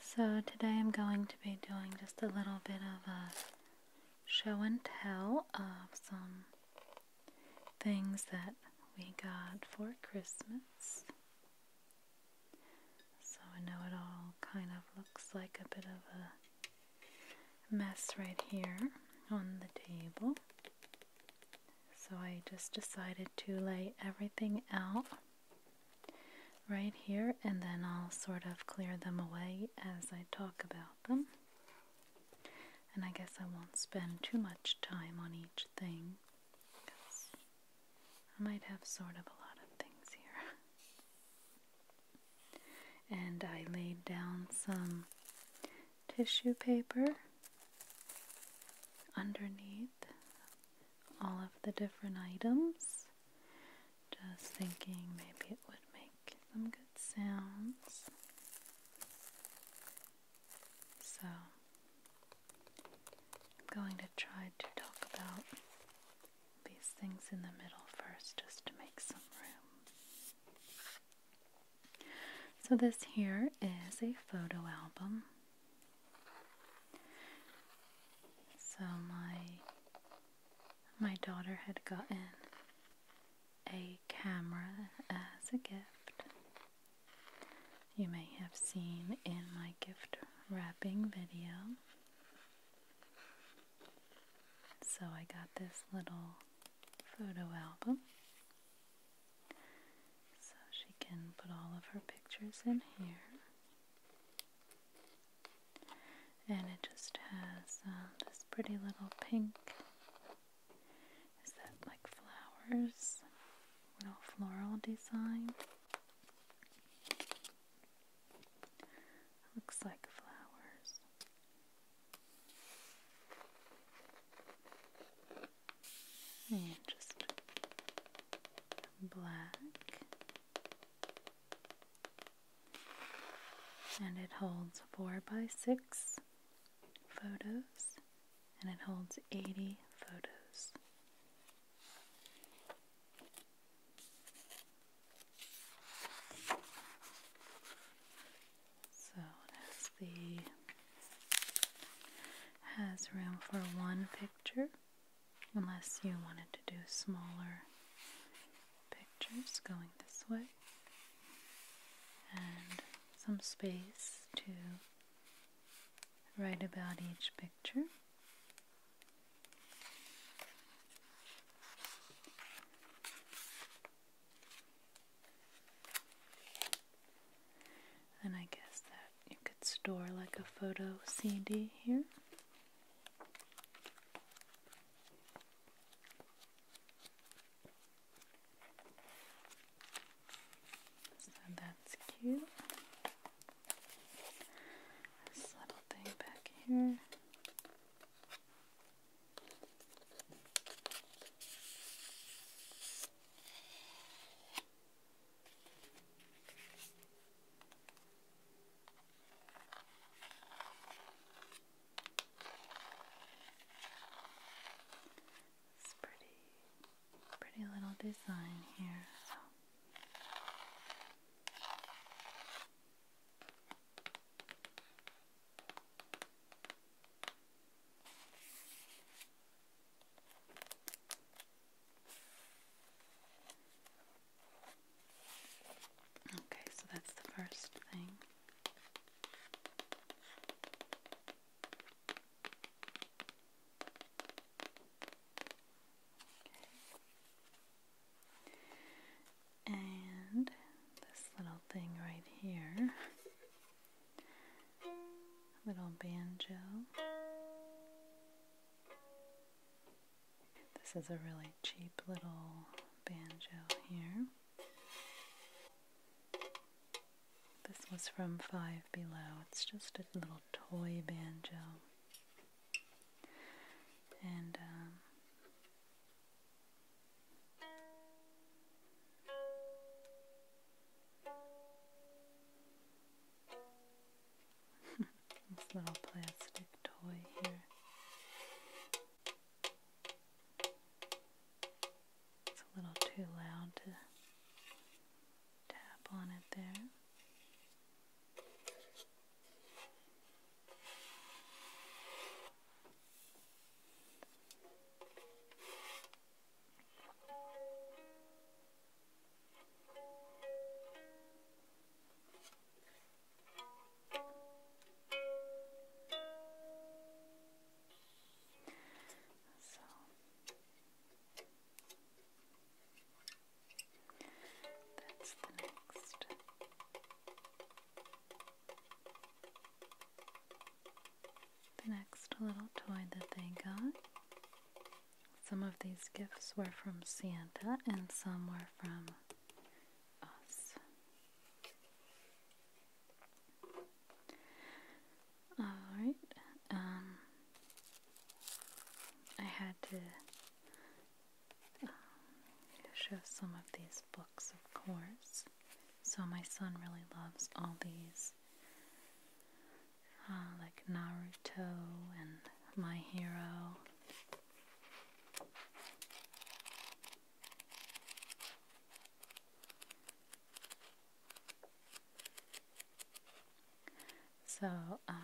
So today I'm going to be doing just a little bit of a show and tell of some things that we got for Christmas. So I know it all kind of looks like a bit of a mess right here on the table. So I just decided to lay everything out right here and then I'll sort of clear them away as I talk about them. And I guess I won't spend too much time on each thing because I might have sort of a lot of things here. and I laid down some tissue paper underneath all of the different items. Just thinking maybe it would make some good sounds. So, I'm going to try to talk about these things in the middle first just to make some room. So, this here is a photo album so my my daughter had gotten a camera as a gift. You may have seen in my gift wrapping video. So I got this little photo album. So she can put all of her pictures in here. And it just has uh, this pretty little pink. Is that like flowers? Little floral design. Looks like flowers and just black, and it holds four by six photos, and it holds 80 photos. So it has has room for one picture unless you wanted to do smaller pictures going this way and some space to write about each picture. And I guess that you could store like a photo CD here. So that's cute. This little thing back here. It's pretty, pretty little design here. So. Okay, so that's the first thing. And this little thing right here little banjo. This is a really cheap little banjo here. This was from Five Below. It's just a little toy banjo. And, um, this little plastic toy here. It's a little too loud to tap on it there. So that's the next. The next little toy that they got some of these gifts were from Santa and some were from us. Alright, um, I had to um, show some of these books, of course. So my son really loves all these uh, like Naruto and My Hero. So um,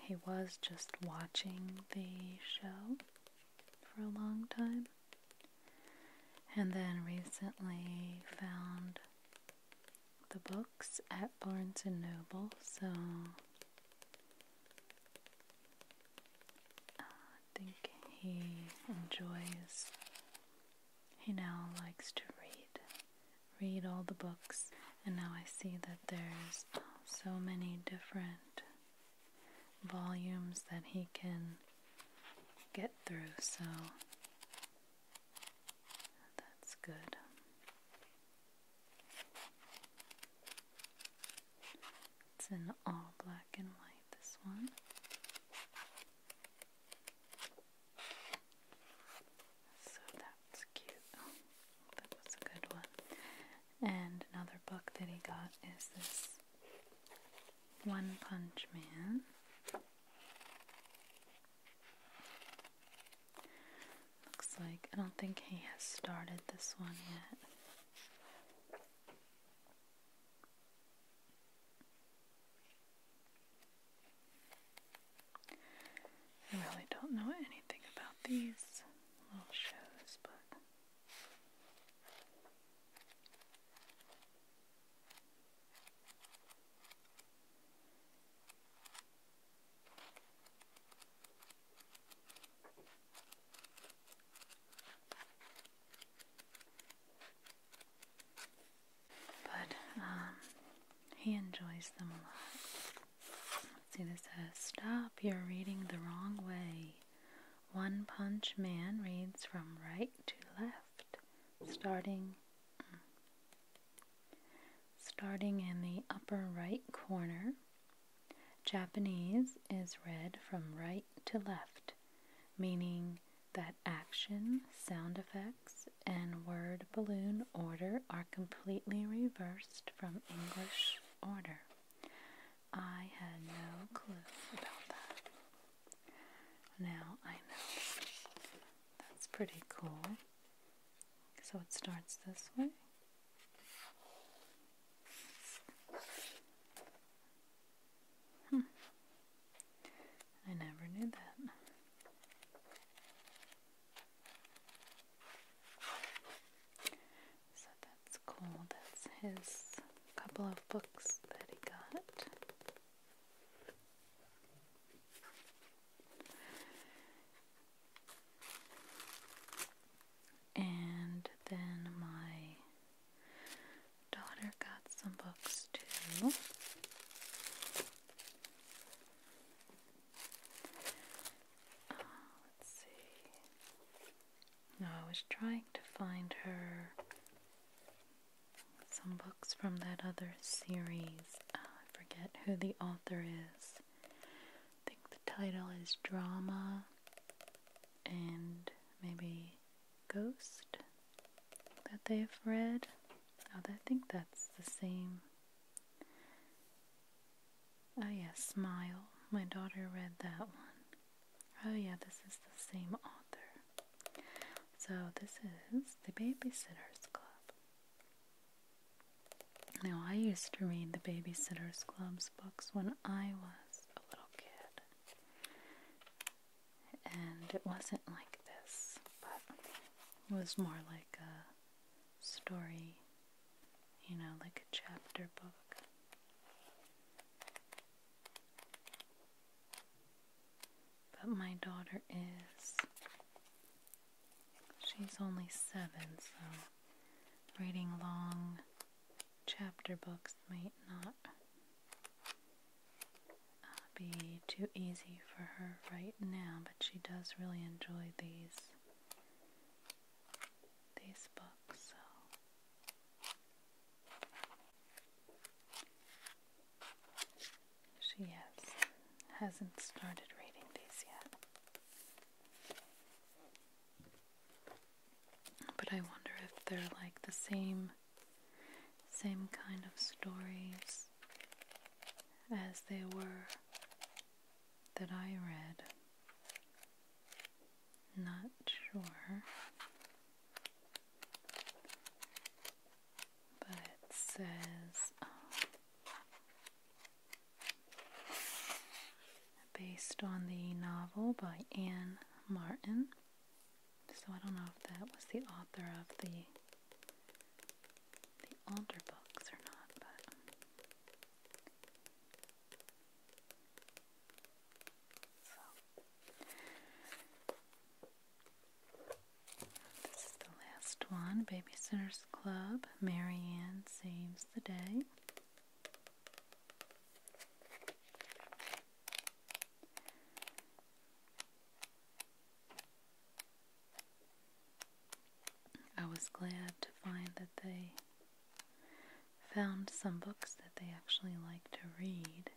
he was just watching the show for a long time and then recently found the books at Barnes and Noble, so uh, I think he enjoys, he now likes to read, read all the books, and now I see that there's so many different volumes that he can get through, so that's good. It's in all black and white, this one. So that's cute. that was a good one. And another book that he got is this One Punch Man. Looks like I don't think he has started this one yet. I really don't know anything about these little shows, but but um, he enjoys them a lot. Let's see, this says Stop, you're reading the wrong way. One Punch Man reads from right to left, starting mm, Starting in the upper right corner, Japanese is read from right to left, meaning that action, sound effects, and word balloon order are completely reversed from English order. I had no clue about that. Now I know. That's pretty cool. So it starts this way. Hmm. I never knew that. So that's cool. That's his couple of books that he got. And then my daughter got some books too. Uh, let's see. I was trying to find her some books from that other series. Uh, I forget who the author is. I think the title is Drama and maybe Ghost that they've read. Oh, I think that's the same. Oh, yes, Smile. My daughter read that one. Oh, yeah, this is the same author. So, this is The Babysitter's Club. Now, I used to read the Babysitter's Club's books when I was a little kid, and it wasn't like this, but it was more like a story, you know, like a chapter book. But my daughter is She's only seven, so reading long chapter books might not uh, be too easy for her right now, but she does really enjoy these these books. So. She has, hasn't started reading these yet. But I wonder if they're like the same same kind of stories as they were that I read. Not sure. But it says um, based on the novel by Anne Martin. So I don't know if that was the author of the the older books or not, but so this is the last one, Babysitter's Club. Marianne Saves the Day. I was glad to find that they found some books that they actually like to read.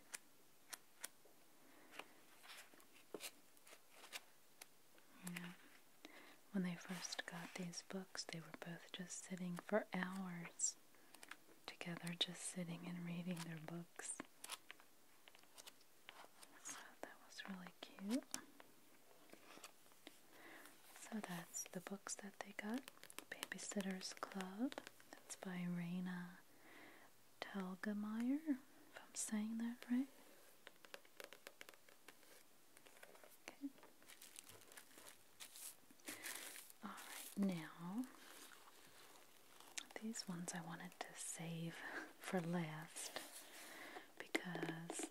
Yeah. When they first got these books, they were both just sitting for hours together, just sitting and reading their books. So that was really cute. So that's the books that they got. Babysitter's Club. That's by Raina Telgemeier, if I'm saying that right. Okay. All right, now these ones I wanted to save for last because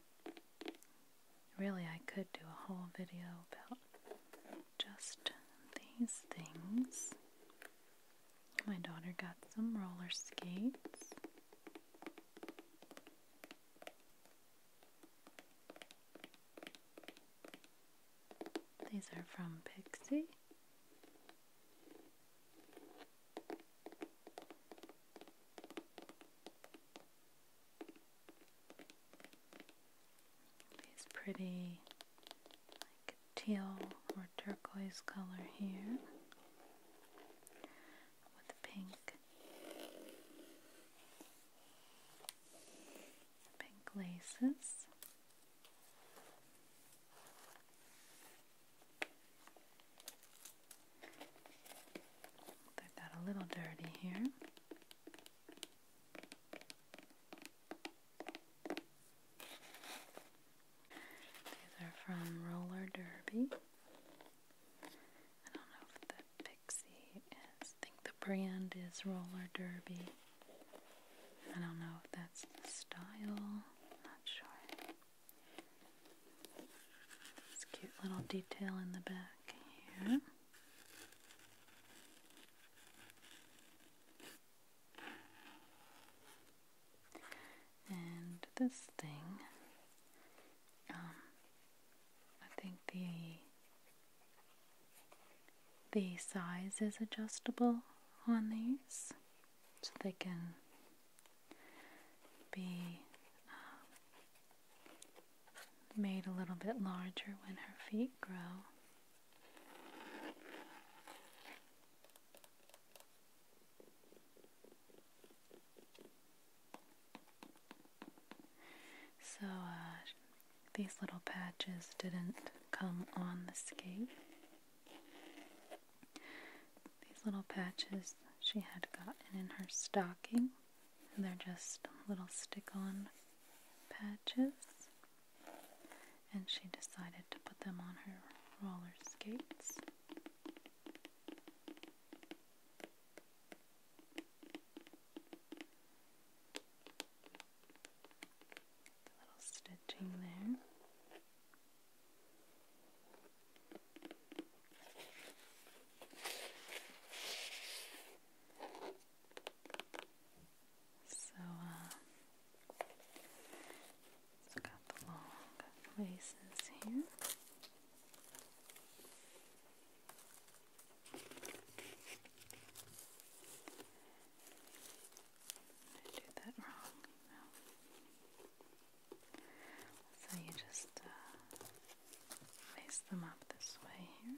really I could do a whole video about just these things. My daughter got some roller skates. These are from Pixie. These pretty like teal or turquoise color here with pink pink laces. They got a little dirty here. These are from Roller Derby. I don't know if the Pixie is. think the brand is Roller Derby. I don't know if that's the style. Not sure. This cute little detail in the back here. And this thing um, I think the the size is adjustable on these, so they can be um, made a little bit larger when her feet grow. So uh, these little patches didn't come on the skate. These little patches she had gotten in her stocking. they're just little stick on patches. And she decided to put them on her roller skates. A little stitching there. So, uh, it's got the long laces here. I So you just face uh, them up this way here.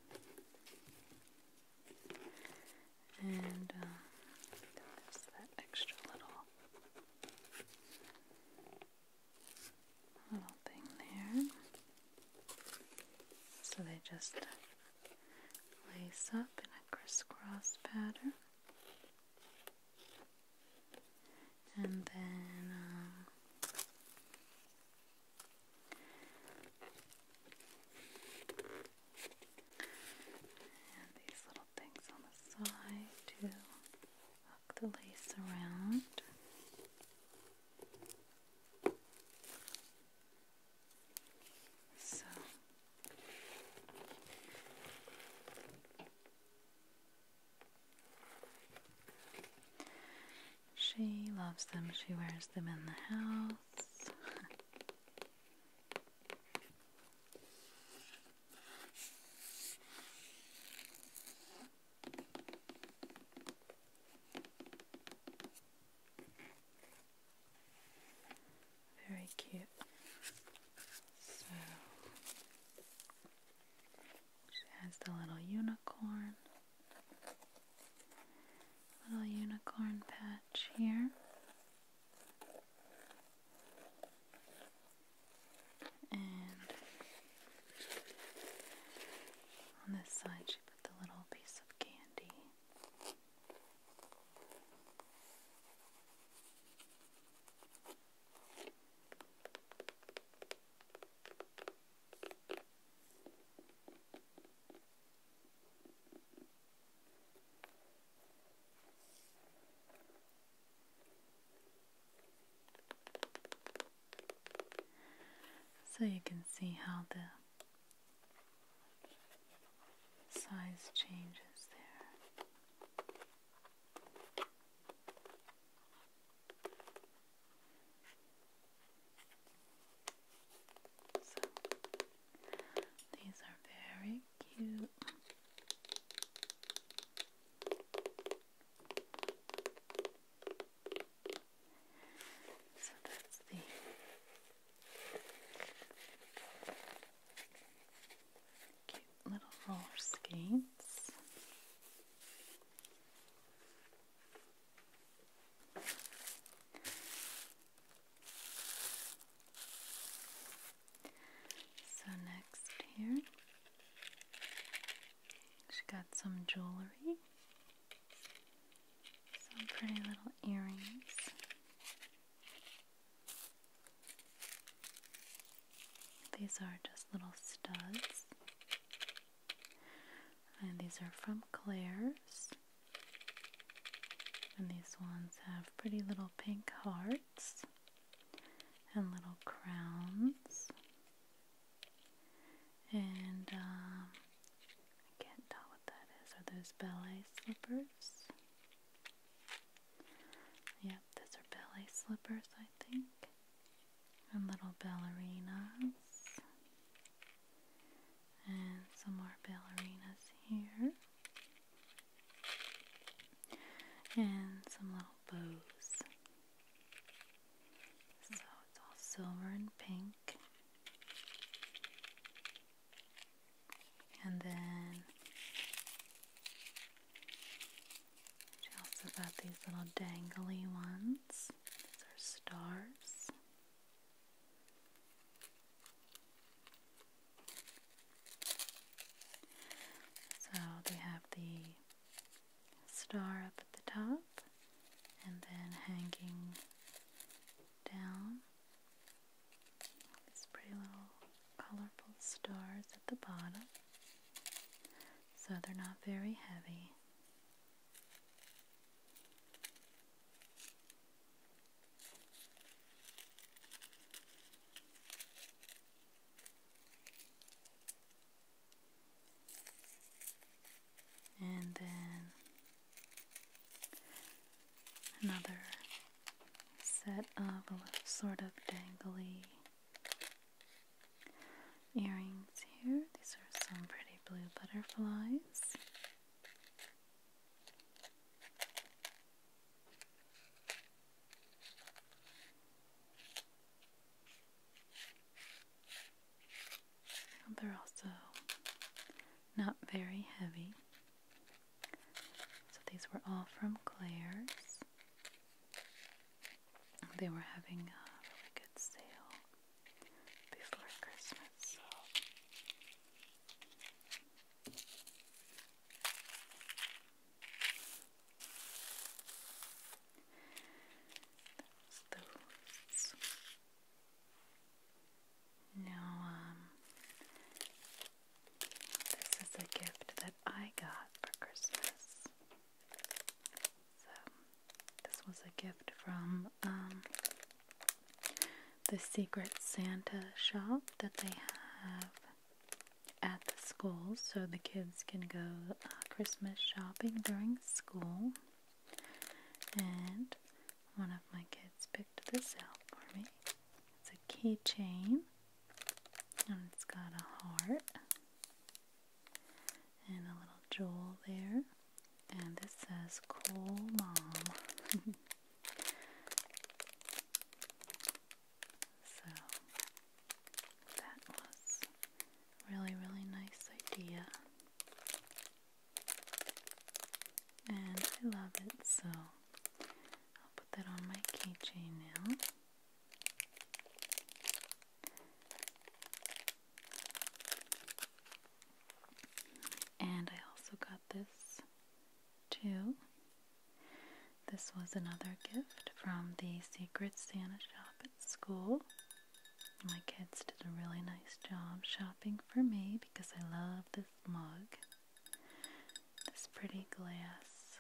And um, that extra little little thing there. So they just lace up in a crisscross pattern. And then uh, and these little things on the side to hook the lace around. So she loves them. She wears them in the house. Very cute. So she has the little unicorn. Little unicorn patch here. And on this side, she put the little piece of candy. So you can see how the size changes there. So these are very cute. So that's the cute little roller skates. So next here, she got some jewelry, some pretty little earrings. These are just little studs. And these are from Claire's. And these ones have pretty little pink hearts and little crowns. And um, I can't tell what that is. Are those ballet slippers? Yep, those are ballet slippers, I think. And little ballerinas. And some more ballerinas here. And some little bows. So it's all silver and pink. And then she also got these little dangly ones. These are stars. So they have the star up at the top and then hanging down these pretty little colorful stars at the bottom. So they're not very heavy and then another set of sort of dangly earrings here. These are some pretty blue butterflies. They're also not very heavy. So these were all from Claire's. They were having a really good sale before Christmas. Those. Now, um, this is a gift that I got for Christmas. So this was a gift from um, the Secret Santa shop that they have at the school, so the kids can go uh, Christmas shopping during school. And one of my kids picked this out for me. It's a keychain, and it's got a heart and a little jewel there. And this says Cool Mom. so that was really, really nice idea. And I love it, so I'll put that on my keychain now. And I also got this too. This was another gift from the Secret Santa shop at school. My kids did a really nice job shopping for me because I love this mug. This pretty glass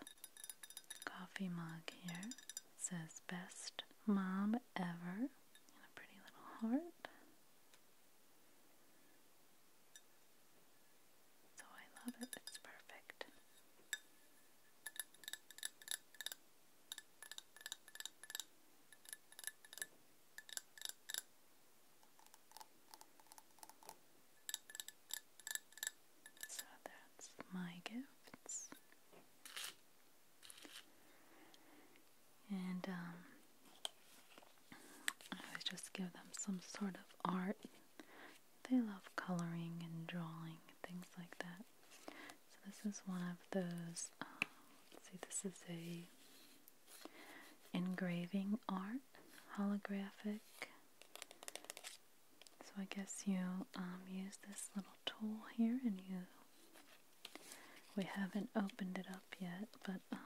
coffee mug here says best mom ever in a pretty little heart. So I love it, it's perfect. So that's my gifts. And um, I just give them some sort of art. They love coloring and drawing, things like that. So this is one of those. Um, see, this is a engraving art, holographic. So I guess you um, use this little tool here and you we haven't opened it up yet, but um,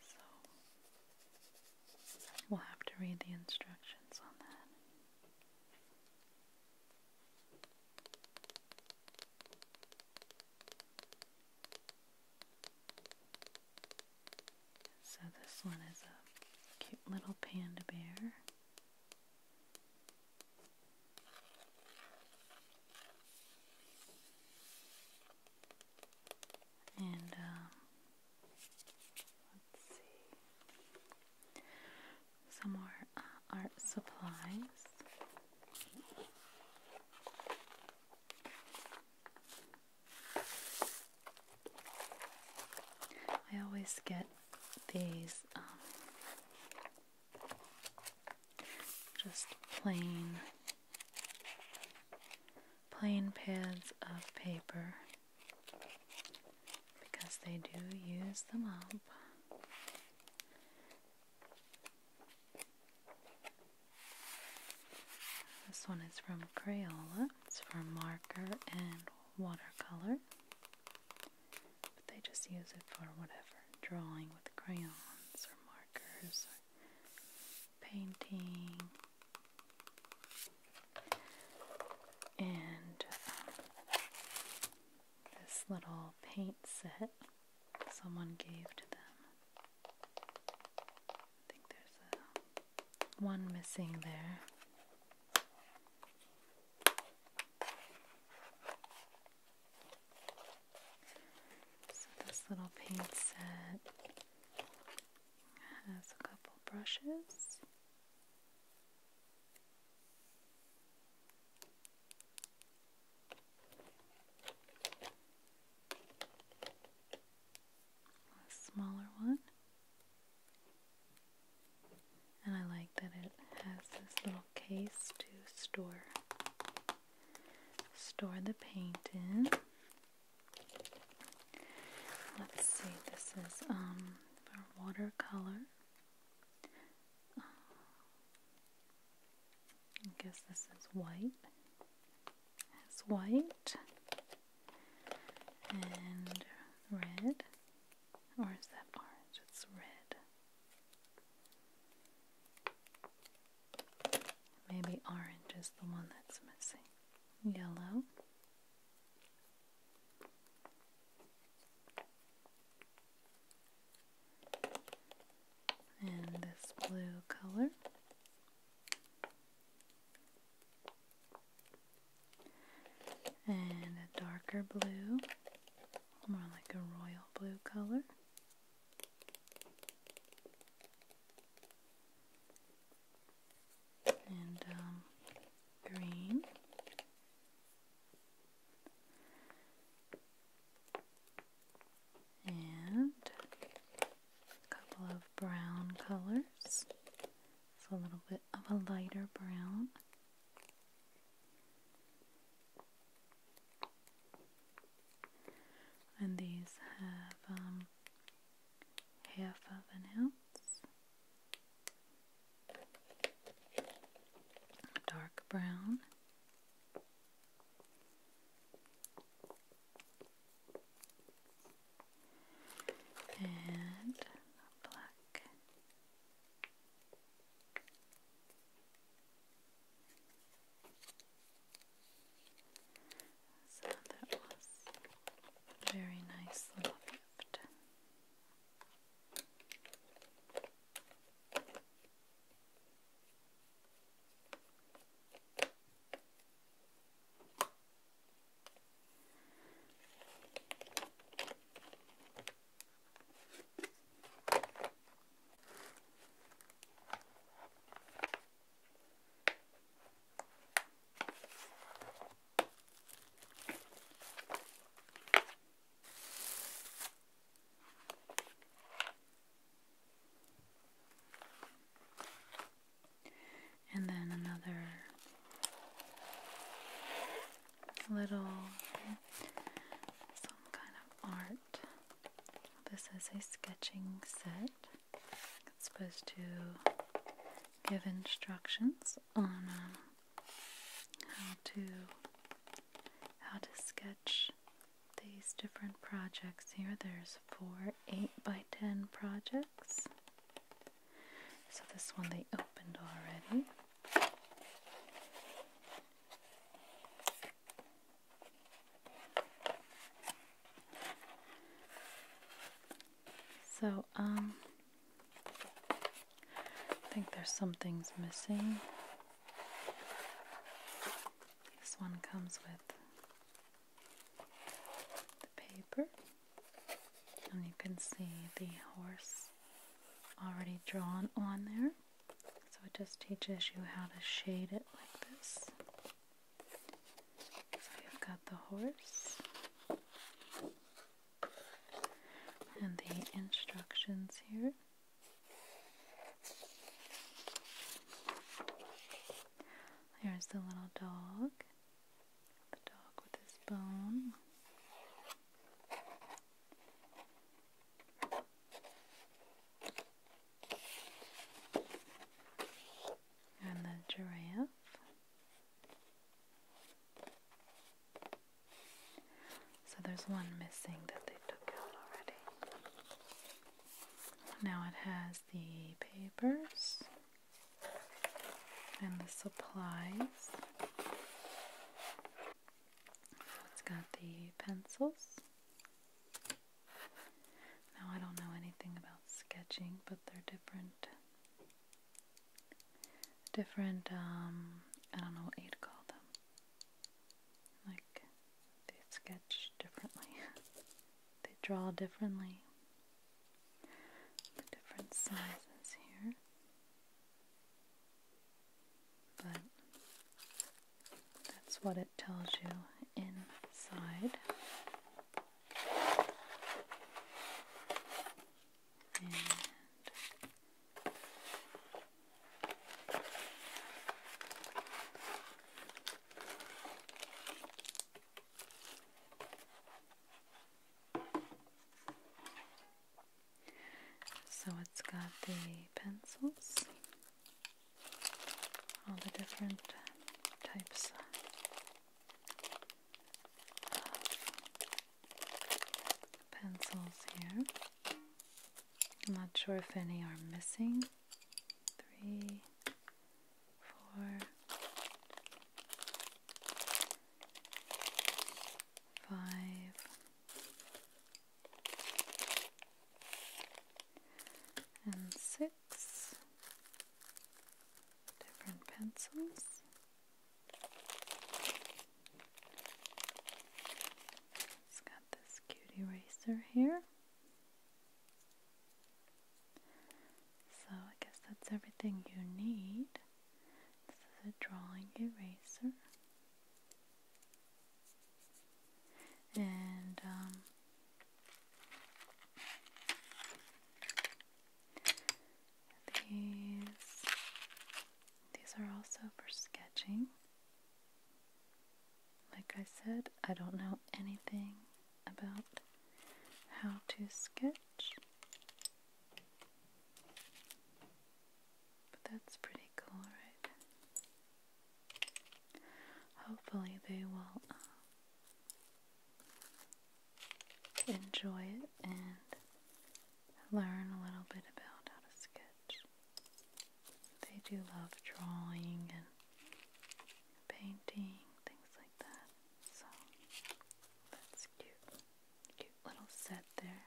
so we'll have to read the instructions on that. So this one is a cute little panda bear. And um, let's see, some more uh, art supplies. I always get these um, just plain, plain pads of paper because they do use them up. This one is from Crayola. It's for marker and watercolor. But they just use it for whatever drawing with crayons or markers or painting. And um, this little paint set someone gave to them. I think there's uh, one missing there. So this little paint set has a couple brushes. A smaller one. And I like that it has this little case to store store the paint in. Let's see, this is um, for watercolor. I guess this is white. It's white and red. Or is that orange? It's red. Maybe orange is the one that's missing. Yellow. And this blue color. And a darker blue, more like a royal blue color and um, green. And a couple of brown colors. It's a little bit of a lighter brown. And these have um, half of an ounce, dark brown. And black. So that was a very nice little gift. And then another little some kind of art this is a sketching set. It's supposed to give instructions on um, how to how to sketch these different projects here. There's four 8 by 10 projects. So this one they opened already. So, um, I think there's something's missing. This one comes with the paper, and you can see the horse already drawn on there. So it just teaches you how to shade it like this. So you've got the horse and the instructions here. There's the little dog, the dog with his bone. And the giraffe. So there's one missing that they took out already. Now it has the papers and the supplies it's got the pencils. Now I don't know anything about sketching, but they're different. Different, um, I don't know what you'd call them. Like, they sketch differently, they draw differently. different sizes here but that's what it tells you inside. so it's got the pencils all the different types of pencils here. I'm not sure if any are missing. Three, four, five, and six different pencils. It's got this cute eraser here. So I guess that's everything you need. This is a drawing eraser and um, these these are also for sketching. Like I said, I don't know anything about how to sketch, but that's pretty cool, right? Hopefully, they will um, enjoy it and learn a little bit about how to sketch. They do love drawing and painting, things like that. So that's cute. Cute little set there.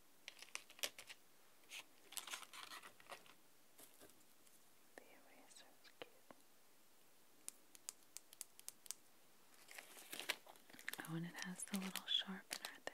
Oh, and it has the little sharpener there.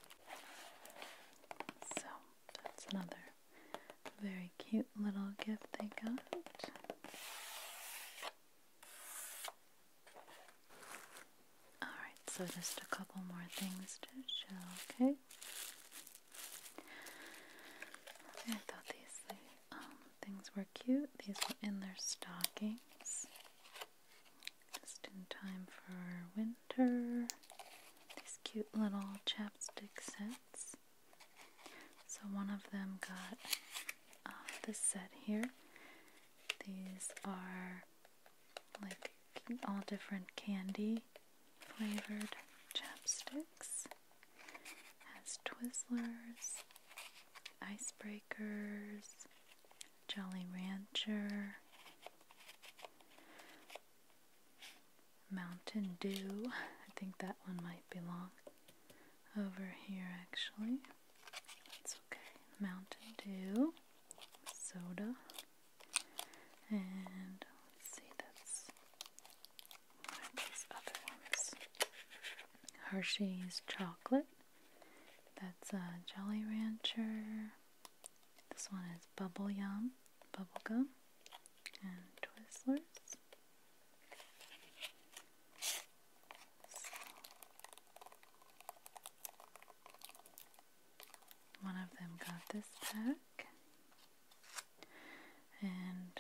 So that's another very cute little gift they got. Alright, so just a couple more things to show, okay? I thought these um, things were cute. These were in their stockings. Just in time for winter. These cute little chapstick sets. So one of them got uh, this set here. These are like all different candy flavored chapsticks. Has Twizzlers, icebreakers, Jolly Rancher, Mountain Dew. I think that one might be long. over here actually. That's okay. Mountain Dew, soda, and let's see, that's one of these other ones. Hershey's chocolate. That's a uh, Jolly Rancher. This one is Bubble Yum, gum, and Twizzlers. one of them got this pack, and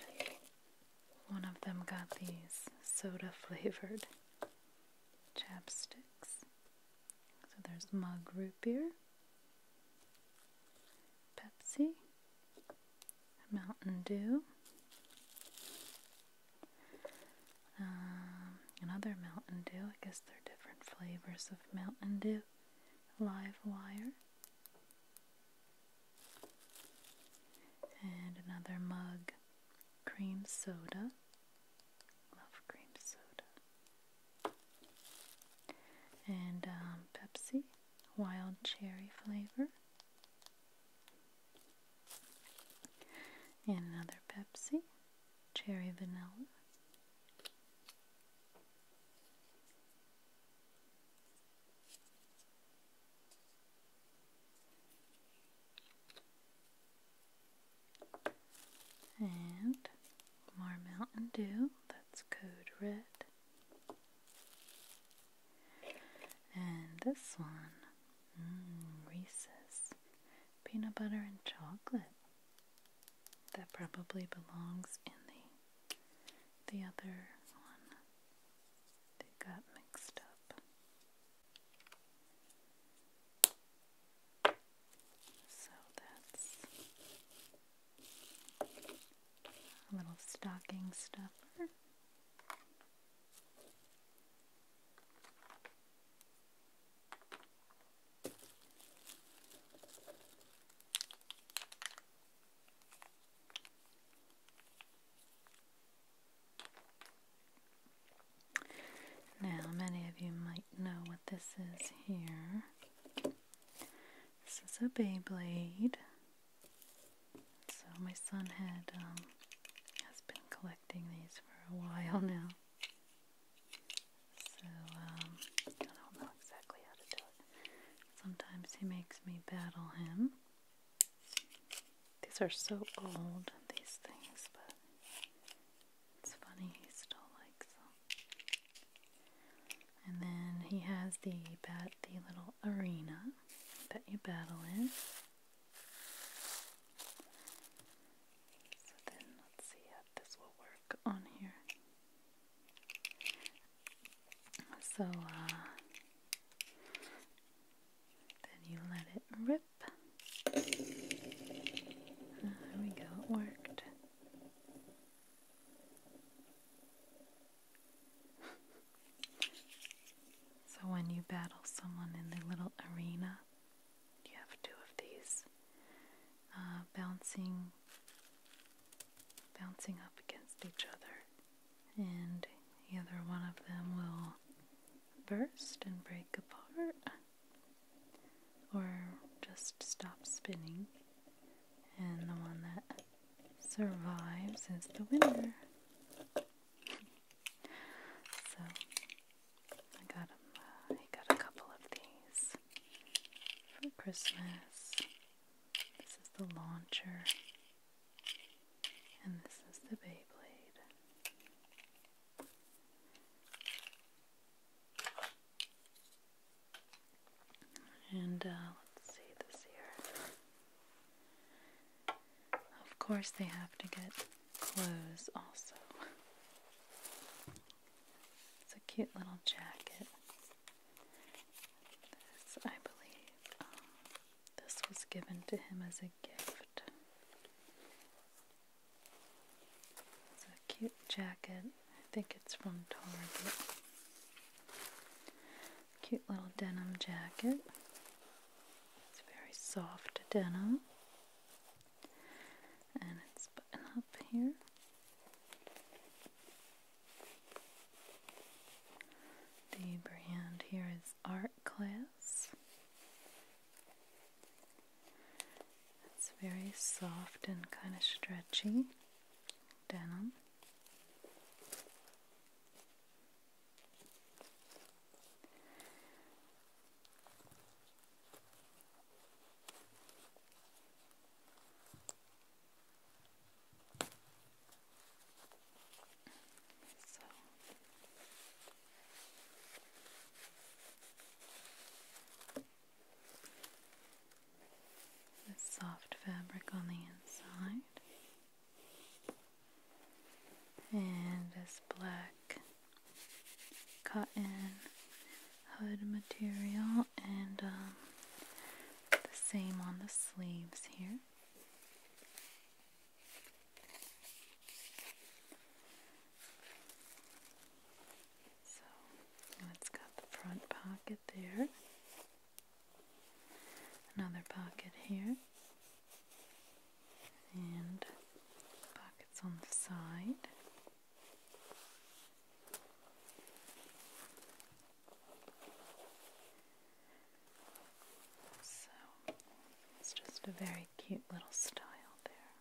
one of them got these soda flavored chapsticks. So there's mug root beer, Pepsi, Mountain Dew, um, another Mountain Dew. I guess they're different flavors of Mountain Dew. Live wire, and another mug cream soda. Love cream soda. And um, Pepsi, wild cherry flavor. And another Pepsi, cherry vanilla. And more Mountain Dew, that's code red. And this one, mmm, Reese's peanut butter and chocolate. That probably belongs in the the other one. They got mixed up. So that's a little stocking stuffer. Now, many of you might know what this is here. This is a Beyblade. So my son had um, has been collecting these for a while now. So um, don't know exactly how to do it. Sometimes he makes me battle him. These are so old, these things, but it's funny he still likes them. And then he has the bat the little arena that you battle in. So then let's see if this will work on here. So uh then you let it rip. There we go, it worked. so, when you battle someone in the little arena, you have two of these uh, bouncing, bouncing up against each other, and either one of them will burst and break apart or just stop spinning. And the one that survives is the winner. so um, I got a couple of these for Christmas. This is the launcher, and this is the Beyblade. And uh, let's see this here. Of course, they have to get clothes also. It's a cute little jacket. This, I believe, um, this was given to him as a gift. It's a cute jacket. I think it's from Target. Cute little denim jacket. It's very soft denim. And it's button up here. The brand here is Art it's very soft and kind of stretchy denim. This soft fabric on the inside and this black cotton hood material and um, the same on the sleeves here so it's got the front pocket there, another pocket here, and pockets on the side. So it's just a very cute little style there.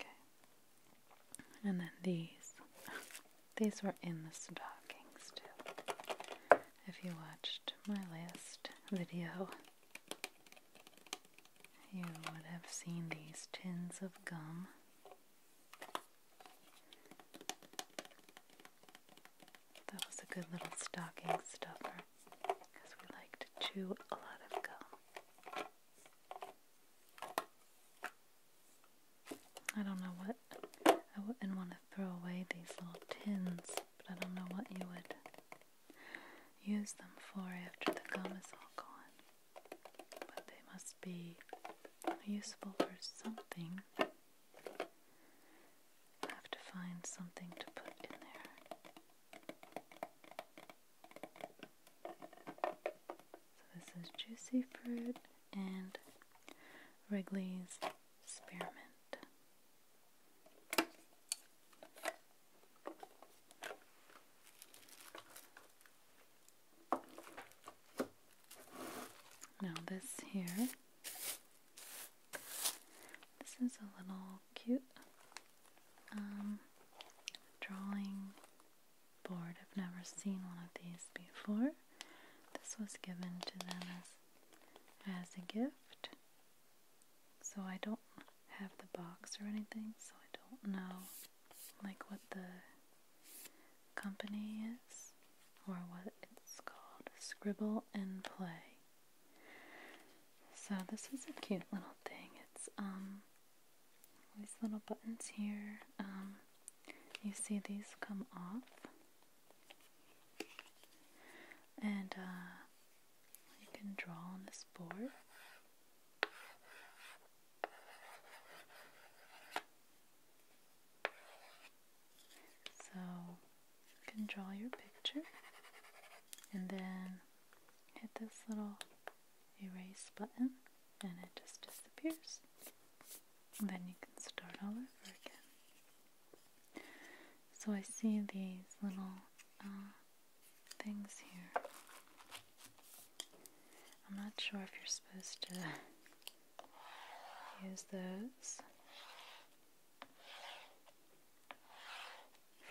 Okay. And then these. these were in the stockings too. If you watched my last video, you would have seen these tins of gum. That was a good little stocking stuffer because we like to chew a lot of gum. I don't know what, I wouldn't want to throw away these little tins, but I don't know what you would use them for after the gum is all gone. But they must be useful for something have to find something to put in there. So this is juicy fruit and Wrigley's spearmint. Now this here this is a little cute um, drawing board. I've never seen one of these before. This was given to them as, as a gift. So I don't have the box or anything, so I don't know like what the company is or what it's called. Scribble and Play. So this is a cute little thing. It's um, these little buttons here. Um, you see these come off. And uh, you can draw on this board. So you can draw your picture and then hit this little erase button and it just disappears. And then you can start all over again. So I see these little uh, things here. I'm not sure if you're supposed to use those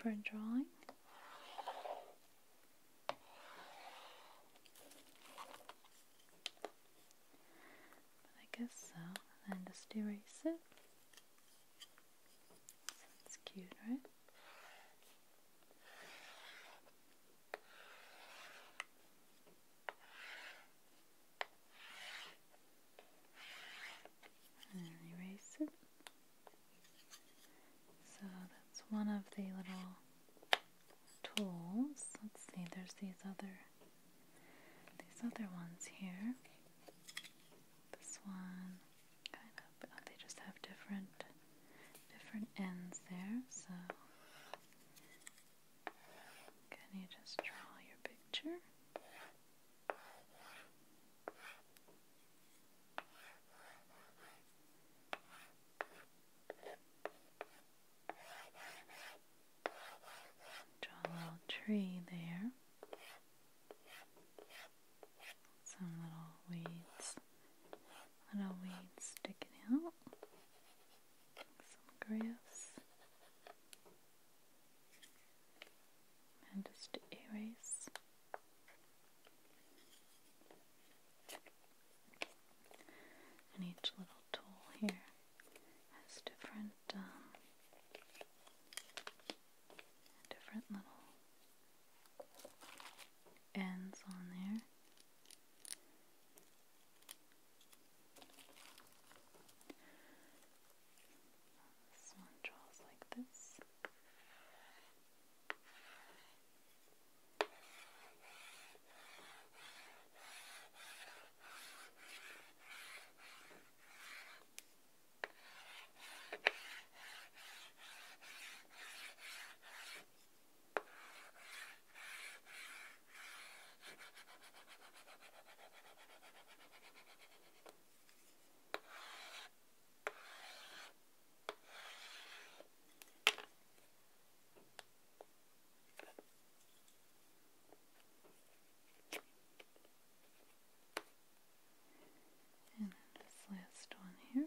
for a drawing. I guess so. And just erase it. Sounds cute, right? and erase it. So that's one of the little tools. Let's see, there's these other these other ones here. This one kind of oh, they just have different different ends there, so can you just draw your picture? Draw a little tree there. Some little weeds, little weeds sticking out. Some grass and just erase and each little tool here has different um, different little ends on there this one draws like this. And then this last one here.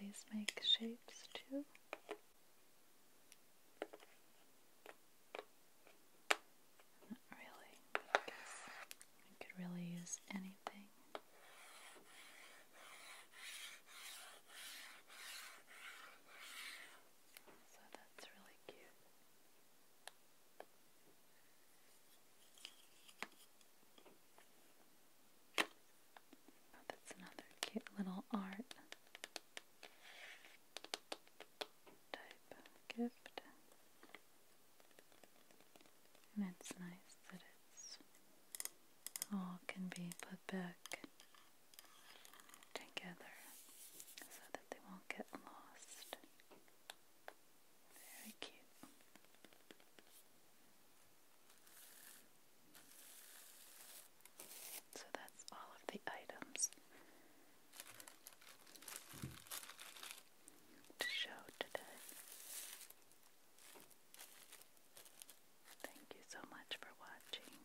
These make shapes too. Not really, I guess I could really use anything. So that's really cute. Oh, that's another cute little art type gift. And it's nice that it's all can be put back together so that they won't get lost. Very cute. So that's all of the items to show today. Thank you so much for watching.